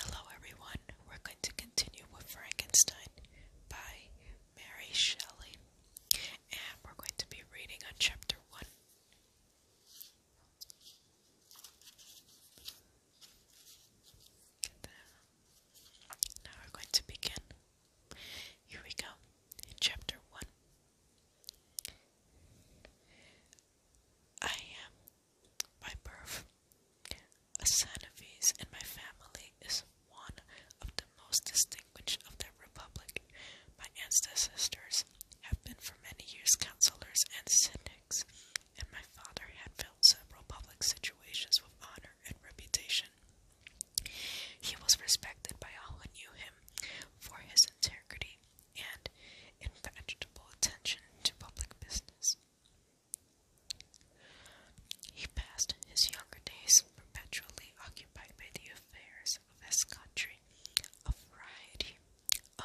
Hello, everyone. We're going to continue with Frankenstein by Mary Shelley, and we're going to be reading on chapter one. Now we're going to begin. Here we go. chapter 1. I am by birth, a Sanavese my family is one of the most distinguished of the Republic. My ancestors have been for many years councillors and syndics, and my father had filled several public situations with honor and reputation. He was respected by all who knew him for his integrity, and indefatigable attention to public business. He passed his younger days perpetually occupied by the affairs of his country. A variety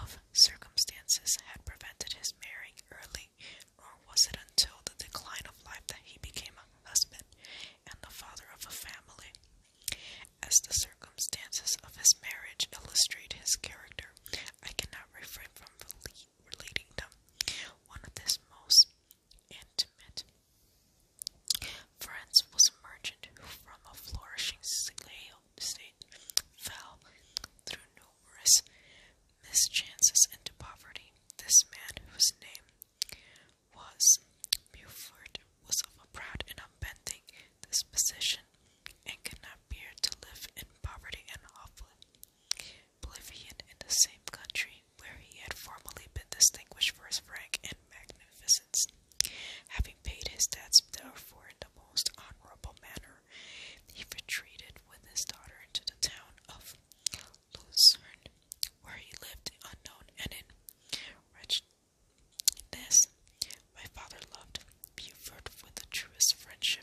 of circumstances had prevented his marrying early, or was it until the decline of life that he became a husband and the father of a family. As the circumstances of his marriage illustrate his character, I cannot refrain from relating them. One of his most intimate friends was a merchant who, from a flourishing slave state, fell through numerous mischances into poverty. This man, whose name was Buford, was of a proud and unbending this position and could not bear to live in poverty and oblivion in the same country where he had formerly been distinguished for his rank and magnificence. Having paid his debts, therefore, in the most honorable manner, he retreated with his daughter into the town of Lucerne, where he lived unknown and in this my father loved Buford with the truest friendship,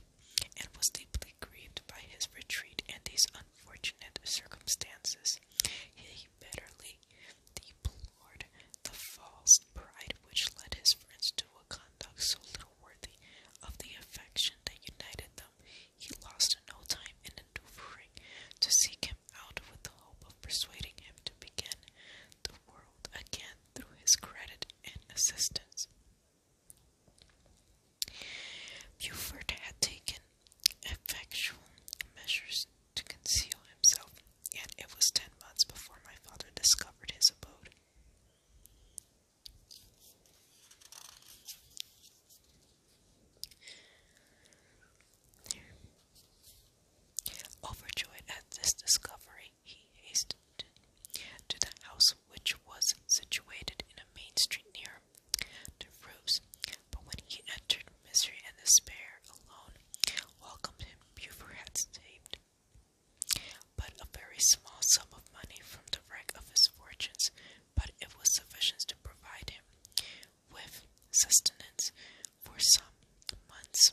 and was deeply grieved by his retreat and these unfortunate circumstances. He bitterly deplored the false pride which led his friends to a conduct so little worthy of the affection that united them. He lost no time in endeavoring to seek him out with the hope of persuading him to begin the world again through his credit and assistance. Beaufort had taken effectual measures to conceal himself, yet it was ten months before my father discovered his abode. Overjoyed at this discovery, he hastened to the house which was situated in a main street near the Devrues. But when he entered, misery and despair alone welcomed him. Buford had saved but a very small sum of money from the wreck of his fortunes, but it was sufficient to provide him with sustenance for some months,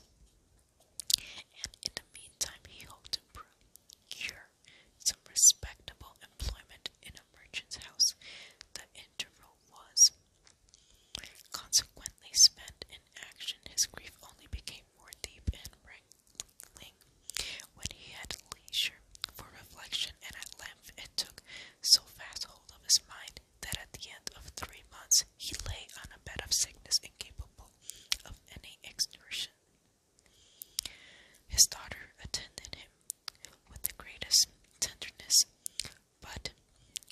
and in the meantime, he hoped to procure some respectable employment in a merchant's house. The interval was consequently spent in action. His grief only became more deep and rankling when he had leisure for reflection, and at length it took so fast hold of his mind that at the end of three months he lay on a bed of sickness incapable of any exertion. His daughter attended him with the greatest tenderness, but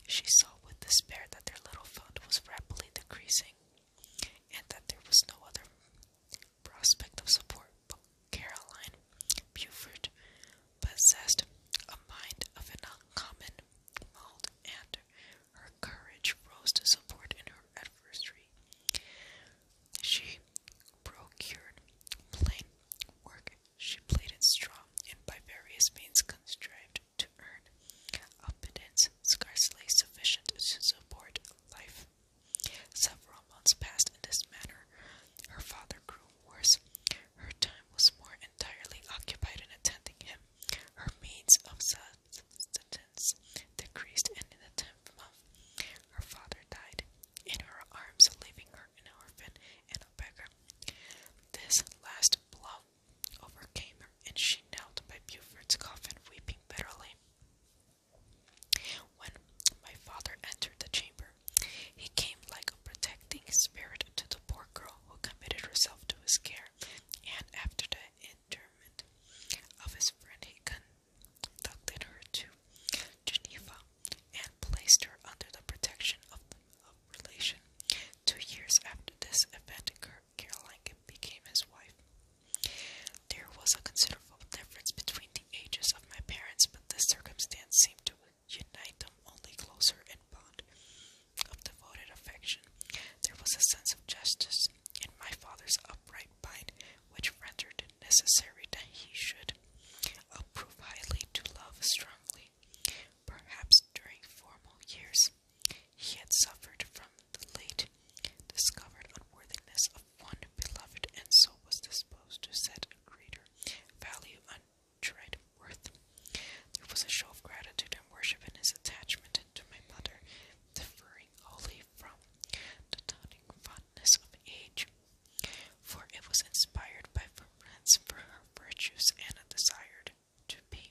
she saw with despair that their little fund was rapidly decreasing, and that there was no other prospect of support but Caroline Buford, possessed a mind of an uncommon mold, and her courage rose to support in her adversity. She procured plain work. She plaited straw, and by various means contrived to earn a abundance scarcely sufficient to support life. Several months passed in this manner. Her father grew worse. Her time was more entirely occupied in attending him. Her means of subsistence decreased, and in the tenth month, her father died in her arms, leaving her an orphan and a beggar. This last blow overcame her, and she knelt by Buford's coffin, weeping bitterly. When my father entered the chamber, he came like a protecting spirit to the poor girl who committed herself to his care, and after the interment of his friend, he conducted her to Geneva and placed her under the protection of a relation. Two years after this event, Caroline became his wife. There was a considerable difference between the ages of my parents, but this circumstance seemed to unite them only closer in bond of devoted affection. There was a sense of justice in my father's upright mind which rendered it necessary that he should approve highly to love strongly. Perhaps during former years he had suffered from the late discovered unworthiness of one beloved and so was disposed to set greater value, untried worth. There was a show of gratitude and worship in his attachment to my mother, differing wholly from the dawning fondness of age, for it was inspired by reverence for her virtues and a desire to be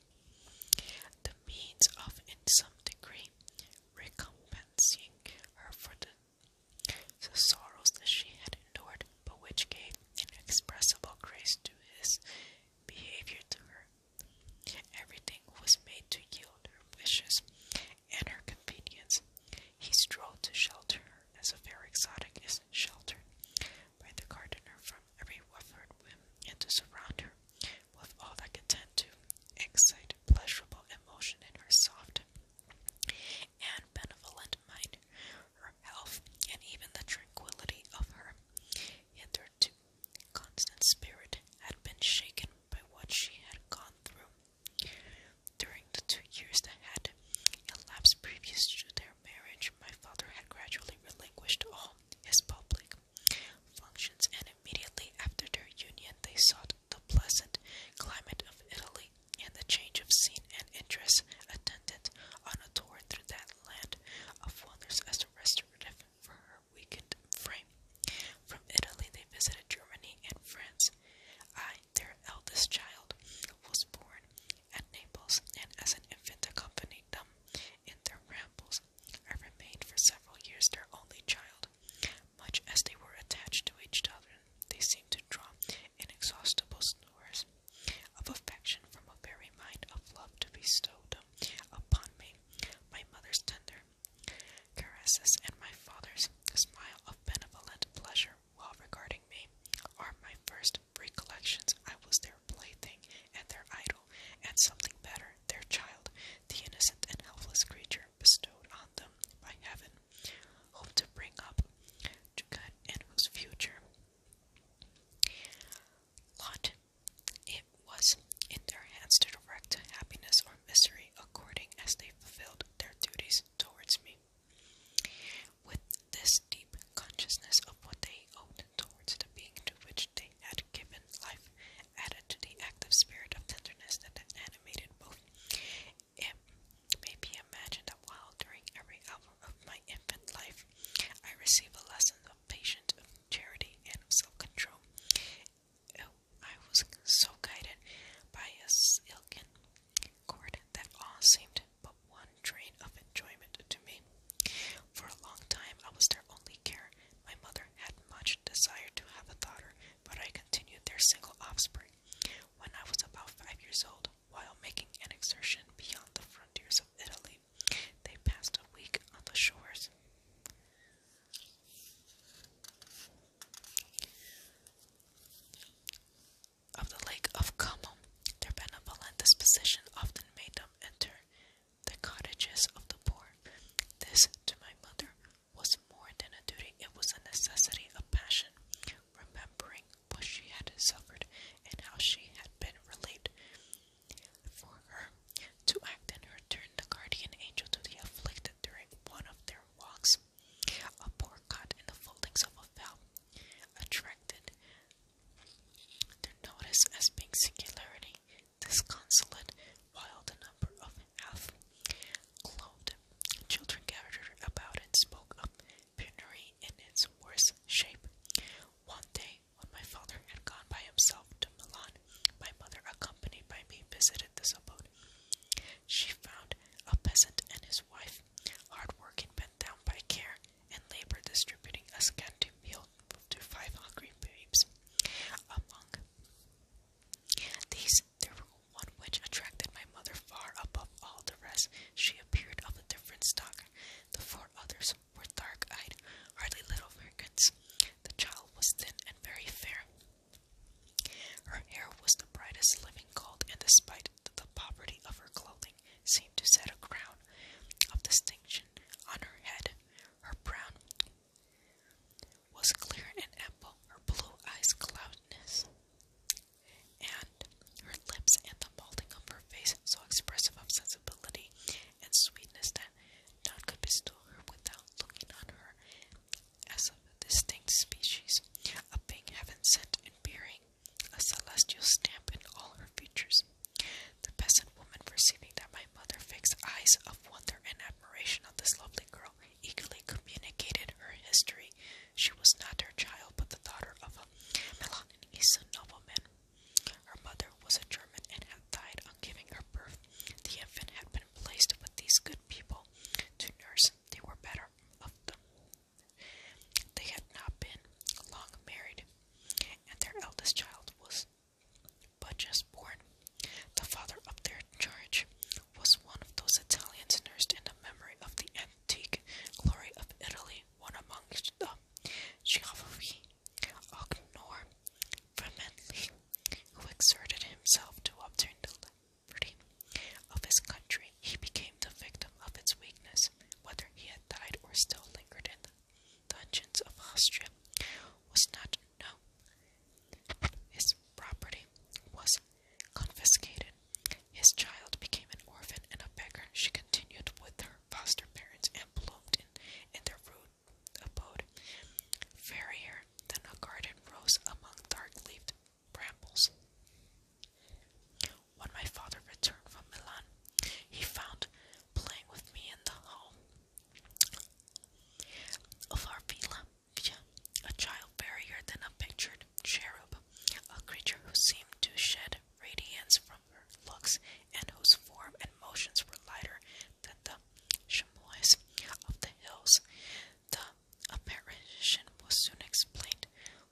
the means of, in some degree, recompensing her for the the sorrows that she had endured, but which gave inexpressible grace to his behavior to her. Everything was made to yield her wishes and her convenience. He strove to shelter her as a fair exotic is sheltered by the gardener from every Wofford whim, and to surround her with all that could tend to excite pleasurable emotion in her soft and benevolent mind, her health, and even the tranquility of her. Hitherto, constant spirit had been shaken by what she had gone through. During the two years that had elapsed previous to their marriage, my father had gradually relinquished all his public functions, and immediately after their union, they sought the pleasant climate of Italy and the change of scene and interest attendant on a tour through that land of wonders as a restorative for her weakened frame. From Italy, they visited Germany and France. I, their eldest child, was born at Naples, and as an infant, accompanied them in their rambles. I remained for several years their only child. Much as they were attached to each other, they seemed to draw inexhaustible stores of affection from a very mind of love to bestow upon me. My mother's tender caresses and my father's smile of benevolent pleasure while regarding me are my first recollections. I was their plaything and their idol, and something better, their child, the innocent and helpless creature bestowed on them by heaven, hope to bring up to and whose future lot it was in their hands to direct happiness or misery according as they fulfilled their duties towards me. With this deep consciousness of what they owed towards the being to which they had given life added to the active spirit of tenderness that animated both. It may be imagined that while during every hour of my infant life I received a lesson of patience, charity, and self-control, oh, I was so guided by a silken cord that all seemed but one train of enjoyment to me. For a long time, I was their only care. My mother had much desired to have a daughter, but I continued their single offspring. When I was about five years old, while making an exertion beyond the frontiers of Italy, they passed a week on the shores. Of the Lake of Como, their benevolent disposition often made them enter the cottages of the poor. This, to my mother, was more than a duty, it was a necessity, a passion, remembering what she had suffered and how she had been relieved. For her to act in her turn, the guardian angel to the afflicted during one of their walks, a poor the foldings of a veil, attracted their notice as being singularly disconsolate, while the number of half-clothed children gathered about and spoke of penury in its worst shape. One day, when my father had gone by himself to Milan, my mother, accompanied by me, visited this abode. She found a peasant and his wife, hard-working, bent down by care and labor, distributing a scanty meal to five hungry babes. Among these there were one which attracted my mother far above all the rest. She appeared of a different stock. The four others were dark-eyed, hardly little merchants. The child was thin and very fair. Her hair was the brightest living gold, and despite the poverty of her clothing, seemed to set a crown of distinction on her head. Her brown, was clear and ample, her blue eyes cloudless, and her lips and the molding of her face so expressive of sensibility and sweetness that none could bestow her without looking on her as of a distinct species, a being heaven sent and bearing a celestial stamp in all her features. The peasant woman, perceiving that my mother fixed eyes of wonder and admiration on this lovely girl, eagerly communicated her history. She was not her child, but the daughter of a Milan East nobleman. Her mother was a German and had died on giving her birth. The infant had been placed with these good people to nurse. They were better of them. They had not been long married, and their eldest child was but just born, the father up there charge was one of those Italians nursed in the memory of the antique glory of Italy, one amongst the Chiavari Ognor Vermentli, who exerted himself to obtain the liberty of his country. He became the victim of its weakness, whether he had died or still lingered in the Conscience of Austria was not known. His property was confiscated. His child became an orphan and a beggar. She continued with her foster parents and bloomed in, their rude abode. Fairier than a garden rose among dark leaved brambles. When my father returned from Milan, he found playing with me in the hall of our villa. A child barrier than a pictured cherub, a creature who seemed to shed radiance from her looks and whose form and motions were lighter than the chamois of the hills. The apparition was soon explained.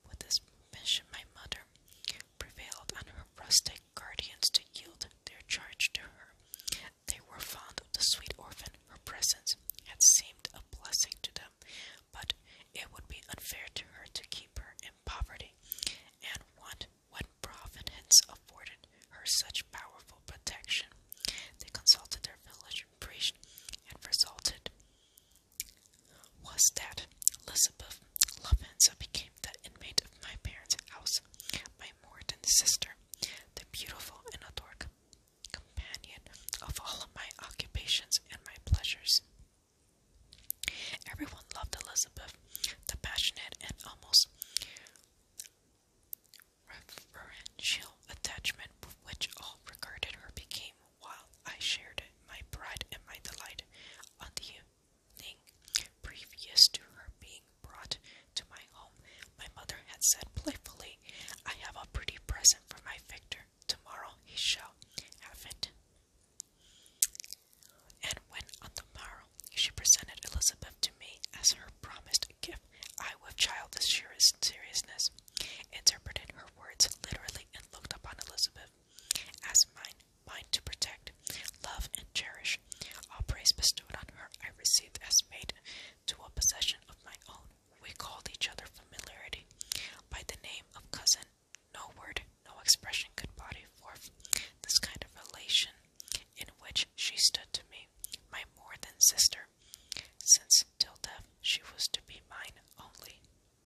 With this mission, my mother prevailed on her rustic guardians to yield their charge to her. They were fond of the sweet orphan. Her presence had seemed a blessing to them, but it would be unfair to her to keep her in poverty, and what when providence afforded her such powerful protection. They consulted their village priest and resulted was that Elizabeth Lovenza became the inmate of my parents' house, my more than sister, the beautiful and adored companion of all my occupations and my pleasures. Everyone loved Elizabeth, the passionate and almost reverential attachment with which all regarded her became, while I shared my pride and my delight unto you. Previous to her being brought to my home, my mother had said playfully, I have a pretty present for my Victor. Tomorrow he shall have it. And when on the morrow she presented Elizabeth to me as her promised gift, I, with childish seriousness, interpreted her words literally and looked upon Elizabeth as mine mine to protect, love, and cherish. All praise bestowed on her I received as made to a possession of my own. We called each other familiarity by the name of cousin. No word, no expression could body forth this kind of relation in which she stood to me, my more than sister, since till death she was to be mine only.